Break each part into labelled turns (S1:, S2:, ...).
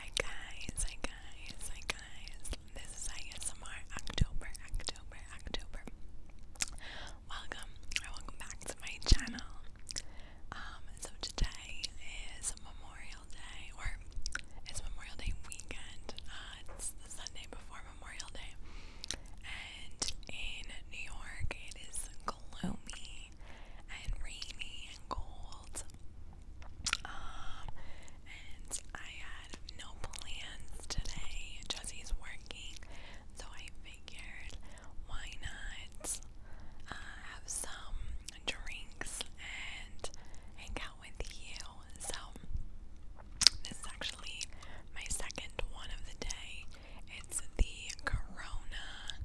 S1: Hi guys, hi guys, hi guys. This is ISMR October, October, October. Welcome welcome back to my channel. Um, so today is Memorial Day, or it's Memorial Day weekend. Uh, it's the Sunday before Memorial Day. And in New York, it is gloomy and rainy and cold. Um, and I had no plans today. Jesse's working, so I figured why not uh, have some drinks and hang out with you. So this is actually my second one of the day. It's the Corona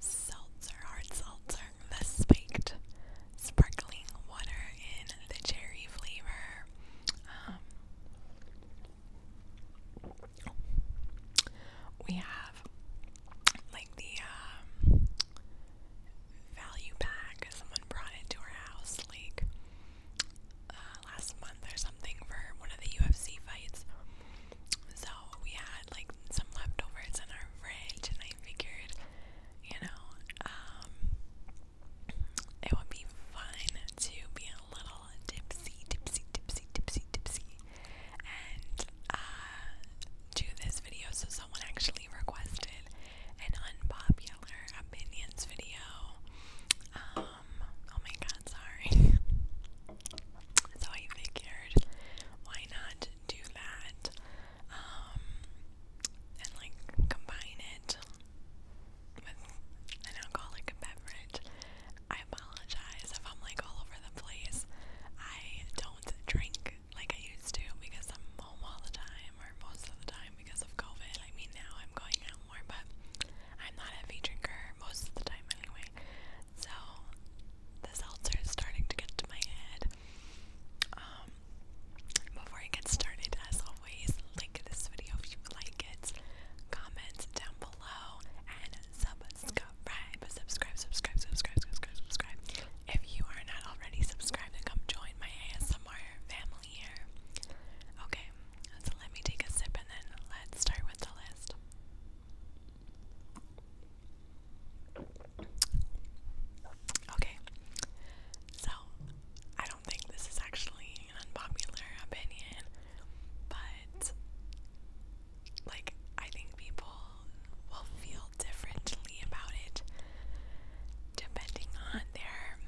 S1: Seltzer, hard seltzer the spiked sparkling water in the cherry flavor. Um, we have like the um, value pack. Someone brought it to our house like uh, last month or something for one of the UFC fights. So we had like some leftovers in our fridge, and I figured, you know, um, it would be fun to be a little tipsy, tipsy, tipsy, tipsy, tipsy, and uh, do this video. So someone actually requested an unpopular opinions video. Um, oh my god, sorry. so I figured, why not do that um, and like combine it with an alcoholic beverage. I apologize if I'm like all over the place. I don't drink like I used to because I'm home all the time or most of the time because of COVID. I mean, now I'm going out more, but I'm not a heavy drinker most of the time anyway. So the seltzer is starting to get to my head um, before I get started, as always, like this video if you like it, comment down below, and subscribe. Subscribe, subscribe, subscribe, subscribe, subscribe. If you are not already subscribed, then come join my ASMR family here. Okay, so let me take a sip and then let's start with the list. Okay, so I don't think this is actually an unpopular opinion, but like, I think people will feel differently about it depending on their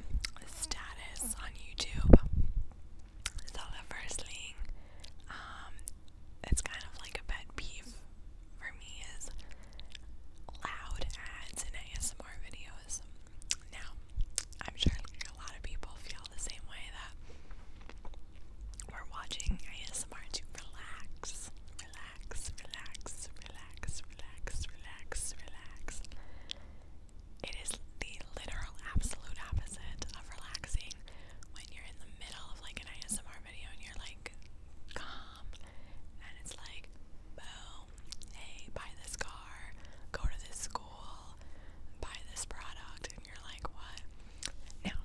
S1: status on YouTube. So, the it's kind of like a pet peeve for me is loud ads in ASMR videos. Now, I'm sure a lot of people feel the same way that we're watching ASMR to relax, relax, relax, relax, relax, relax, relax. It is the literal absolute opposite of relaxing when you're in the middle of like an ASMR video and you're like calm and it's like boom, hey, buy this car, go to this school, buy this product and you're like what? Now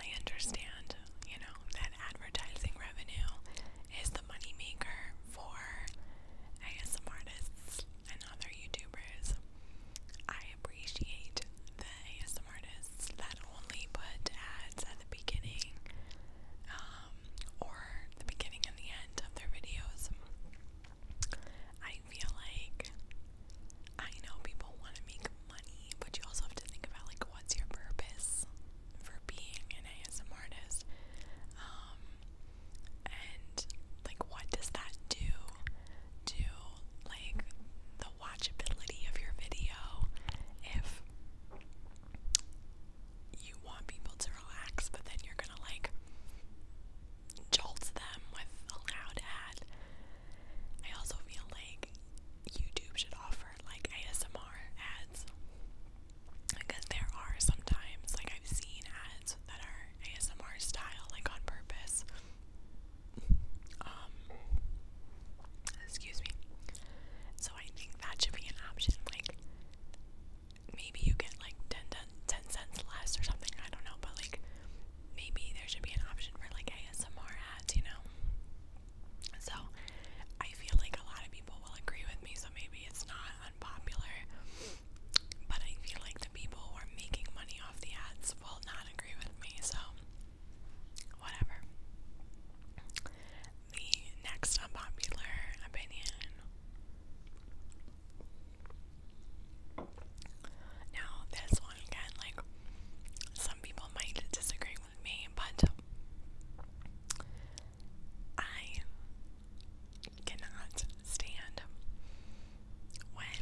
S1: I understand, you know, that advertising revenue is the money maker for ASM artists and other YouTubers. I appreciate the ASM artists that only put ads at the beginning um, or the beginning and the end of their videos. I feel like I know people want to make money, but you also have to think about like what's your purpose for being an ASM artist, um, and like what does that do to like the watchability of your video if you want people to relax, but then you're gonna like jolt them with a loud ad. I also feel like YouTube should offer like ASMR ads because there are sometimes like I've seen ads that are ASMR style, like on purpose. Um, excuse me. So I think that should be an option. Like, maybe you get like 10, 10 cents less or something. I don't know, but like, maybe there should be an option for like ASMR ads, you know? So I feel like a lot of people will agree with me, so maybe it's not unpopular. But I feel like the people who are making money off the ads will not agree with me, so Whatever. The next unpopular opinion. Now, this one again, like, some people might disagree with me, but I cannot stand when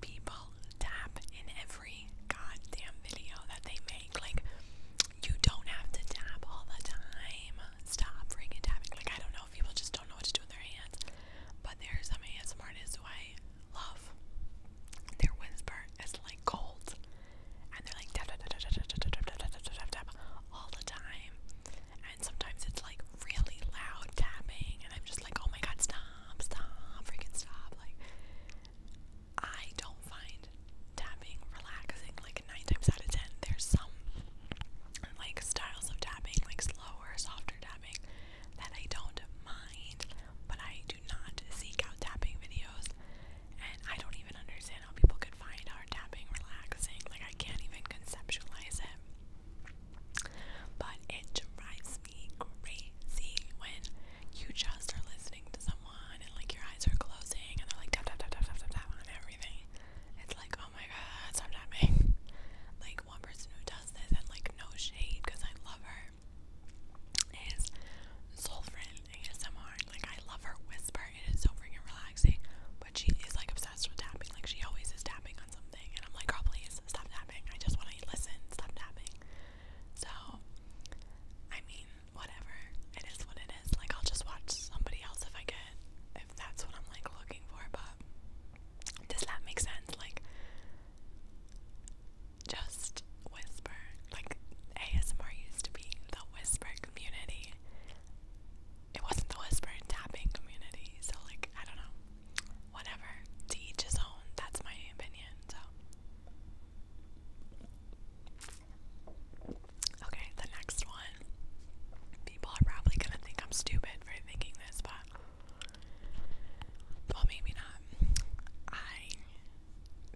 S1: people tap in every goddamn video that they make. Like, you don't have to tap all the time. Stop freaking tapping. Like, I don't know if people just don't know what to do with their hands. But there are some ASM artists who I love. Their whisper is like gold. And they're like tap tap tap tap tap tap tap tap tap tap tap all the time. And sometimes it's like really loud tapping and I'm just like, oh my god, stop stop, freaking stop. Like, I don't find tapping relaxing. Like, nine times out of ten, there's some like styles of tapping, like slower, softer tapping, that I don't mind, but I do not seek out tapping videos. And I don't even understand how people could find our tapping relaxing. Like, I can't even conceptualize it. But it drives me crazy when you just are listening to someone and like your eyes are closing and they're like tap tap tap tap tap tap tap on everything. It's like, oh my god, stop tapping. Like one person who does this and like no shade because I love her is soul friend ASMR. Like I love her whisper. It is so freaking relaxing. But she is like obsessed with tapping. Like she always is tapping on something and I'm like, girl, please stop tapping. I just want to listen. Stop tapping. So, I mean, whatever. It is what it is. Like, I'll just watch somebody else if I get, if that's what I'm like looking for. But does that make sense? Like, just whisper. Like, ASMR used to be the whisper community. It wasn't the whisper tapping community. So, like, I don't know whatever. To each his own. That's my opinion. So. Okay, the next one. People are probably gonna think I'm stupid for thinking this, but well, maybe not. I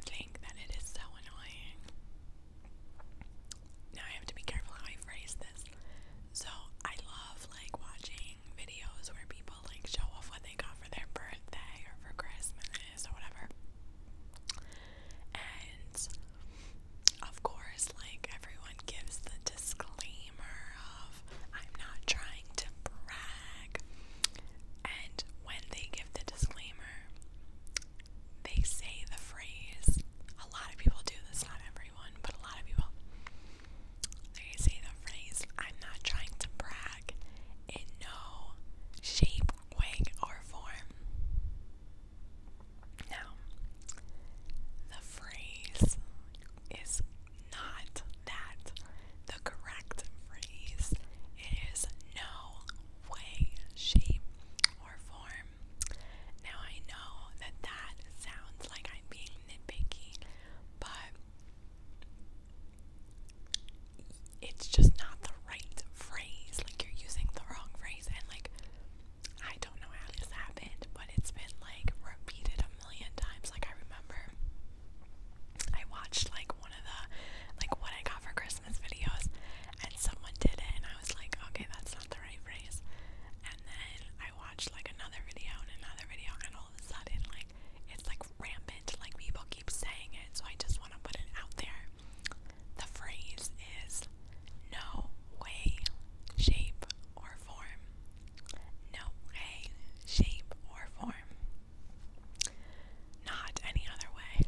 S1: think that it is so annoying. Now I have to be careful how I phrase this. So I love like watching seeing videos where people like show off what they got for their birthday or for Christmas or whatever. And of course, like everyone gives the disclaimer of I'm not trying to brag. And when they give the disclaimer, they say the phrase. A lot of people do this, not everyone, but a lot of people. They say the phrase, I'm not trying to brag, in no shape, way, or form. Now, the phrase is not that. The correct phrase is no way, shape, or form. Now, I know that that sounds like I'm being nitpicky, but it's just not the right phrase. Like you're using the wrong phrase and like I don't know how this happened, but it's been like repeated a million times. Like I remember I watched like one of the like what I got for Christmas videos and someone did it and I was like, okay, that's not the right phrase. And then I watched like another video and another video and all of a sudden like it's like rampant, like people keep saying it, so I just want to put it out there. The phrase is no way, shape, or form. No way, shape, or form. Not any other way.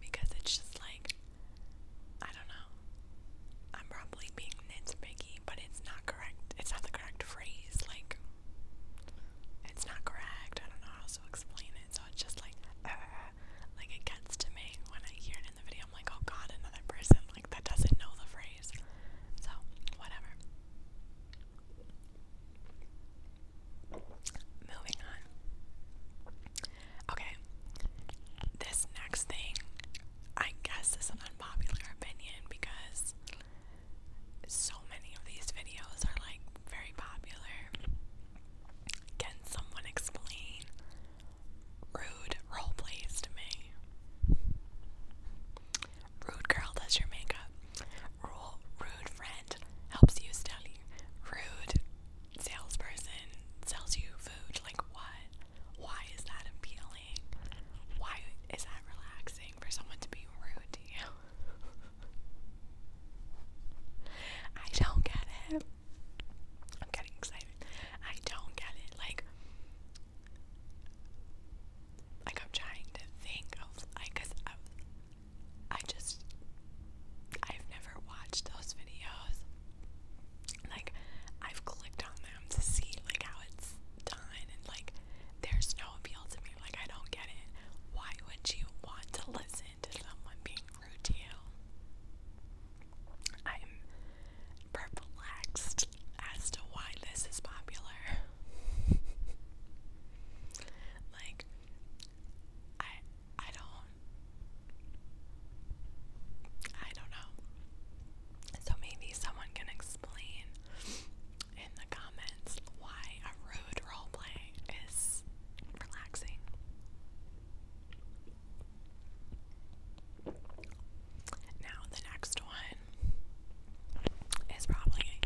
S1: Because it's just like, I don't know. I'm probably being being nitpicky, but it's not correct. It's not the correct phrase. Like, it's not correct. I don't know how to explain it. So it's just like, uh, like it gets to me when I hear it in the video. I'm like, oh god, another person like that doesn't know the phrase. So whatever. Moving on. Okay. This next thing I guess is an unpopular opinion because so many of these videos are like very popular. Can someone explain rude role plays to me? Rude girl does your makeup. Rule rude friend helps you study. Rude salesperson sells you food. Like what? Why is that appealing? Why is that relaxing for someone to be rude to you? I don't get it. I'm getting excited. I don't get it. Like, like I'm trying to think of like, cause I, I just I've never watched those videos like I've clicked on them to see like how it's done and like there's no appeal to me. Like I don't get it. Why would you want to listen to someone being rude to you? I'm perplexed as to why this is popular. like I I don't I don't know. So maybe someone can explain in the comments why a rude roleplay is relaxing. Now, the next one is probably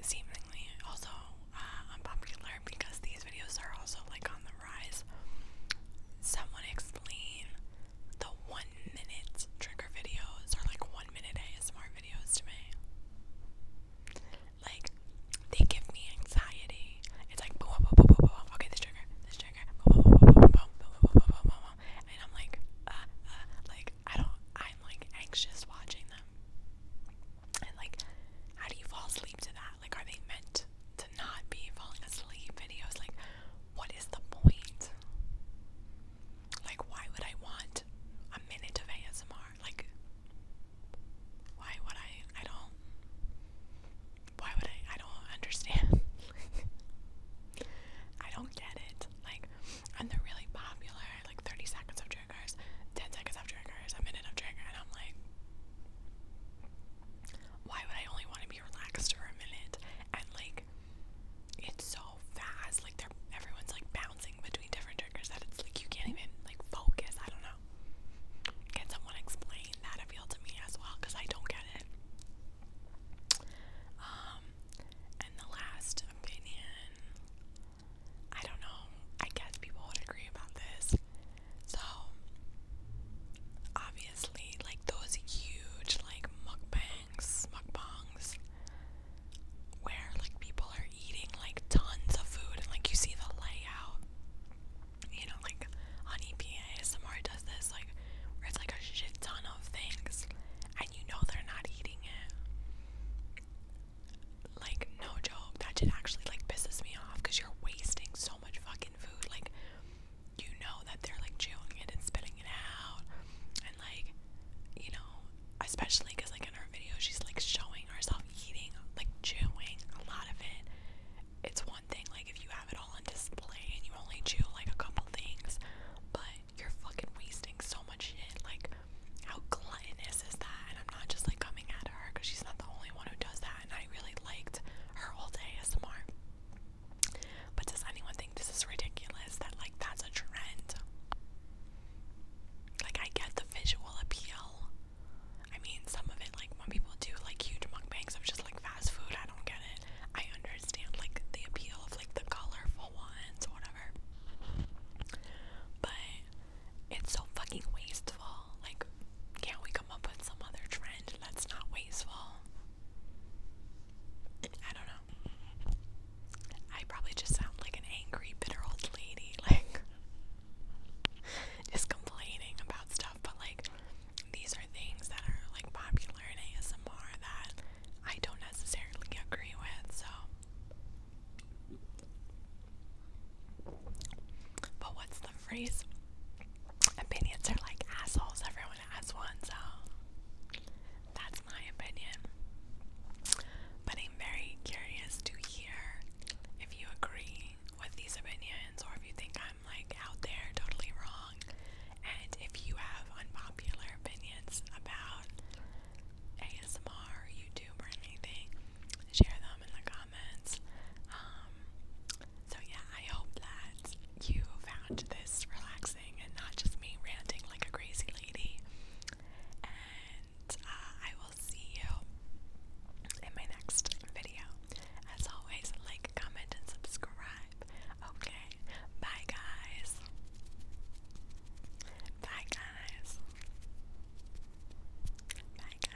S1: seemingly also uh, unpopular because these videos are also like on the rise someone explain the one minute trigger videos are like one minute ASMR videos to me. Like, they give me anxiety. It's like, boom, boom, boom, boom, boom, boom. okay, this trigger, this trigger, boom, boom, boom, boom, boom, boom, boom, boom, boom, boom, boom. And I'm like, uh, uh, like, I don't, I'm like anxious watching them. And like, how do you fall asleep to that? Like, are they meant to not be falling asleep videos? Like, what is the point? Like, why would I want a minute of ASMR? Like, why would I? I don't. Why would I? I don't understand. I don't get it. Like, and they're really popular. Like, 30 seconds of triggers, 10 seconds of triggers, a minute of trigger, and I'm like, why would I only want to be relaxed for a minute? And like, it's so fast. Like they're everyone's like bouncing between different triggers that it's like you can't even like focus. I don't know. Can someone explain that appeal to me as well? Cause I don't get it. Um, and the last opinion, I don't know. I guess people would agree about this. So obviously like those huge like mukbangs, mukbangs, where like people are eating like tons of food and like you see the layout. You know, like on EPA, ASMR does this, like where it's like a shit ton of things, and you know they're not eating it. Like no joke, that shit actually like pisses me off because you're wasting so much fucking food. Like you know that they're like chewing it and spitting it out and like you know especially because like in her video she's like showing herself eating like chewing a lot of it it's one thing like if you have it all on display and you only chew like a couple things but you're fucking wasting so much shit like how gluttonous is that and i'm not just like coming at her because she's not the only one who does that and i really liked her whole day asmr but does anyone think this is ridiculous that, like, that's a trend? Like, I get the visual appeal. I mean, some of it, like, when people do, like, huge mukbangs of just, like, fast food, I don't get it. I understand, like, the appeal of, like, the colorful ones, or whatever. But it's so fucking wasteful. Like, can't we come up with some other trend that's not wasteful? I don't know. I probably just sound like an angry, bitter old lady, like just complaining about stuff, but like these are things that are like popular in ASMR that I don't necessarily agree with, so but what's the phrase? Opinions are like assholes, everyone. As has one, so that's my opinion. But I'm very curious to hear if you agree with these opinions or if you think I'm like out there totally wrong, and if you have unpopular opinions about ASMR or YouTube or anything, share them in the comments. Um, so, yeah, I hope that you found this relaxing and not just me ranting like a crazy lady. And uh, I will see you in my next video. As always, like, comment, and subscribe. Okay, bye, guys. Bye, guys. Bye, guys.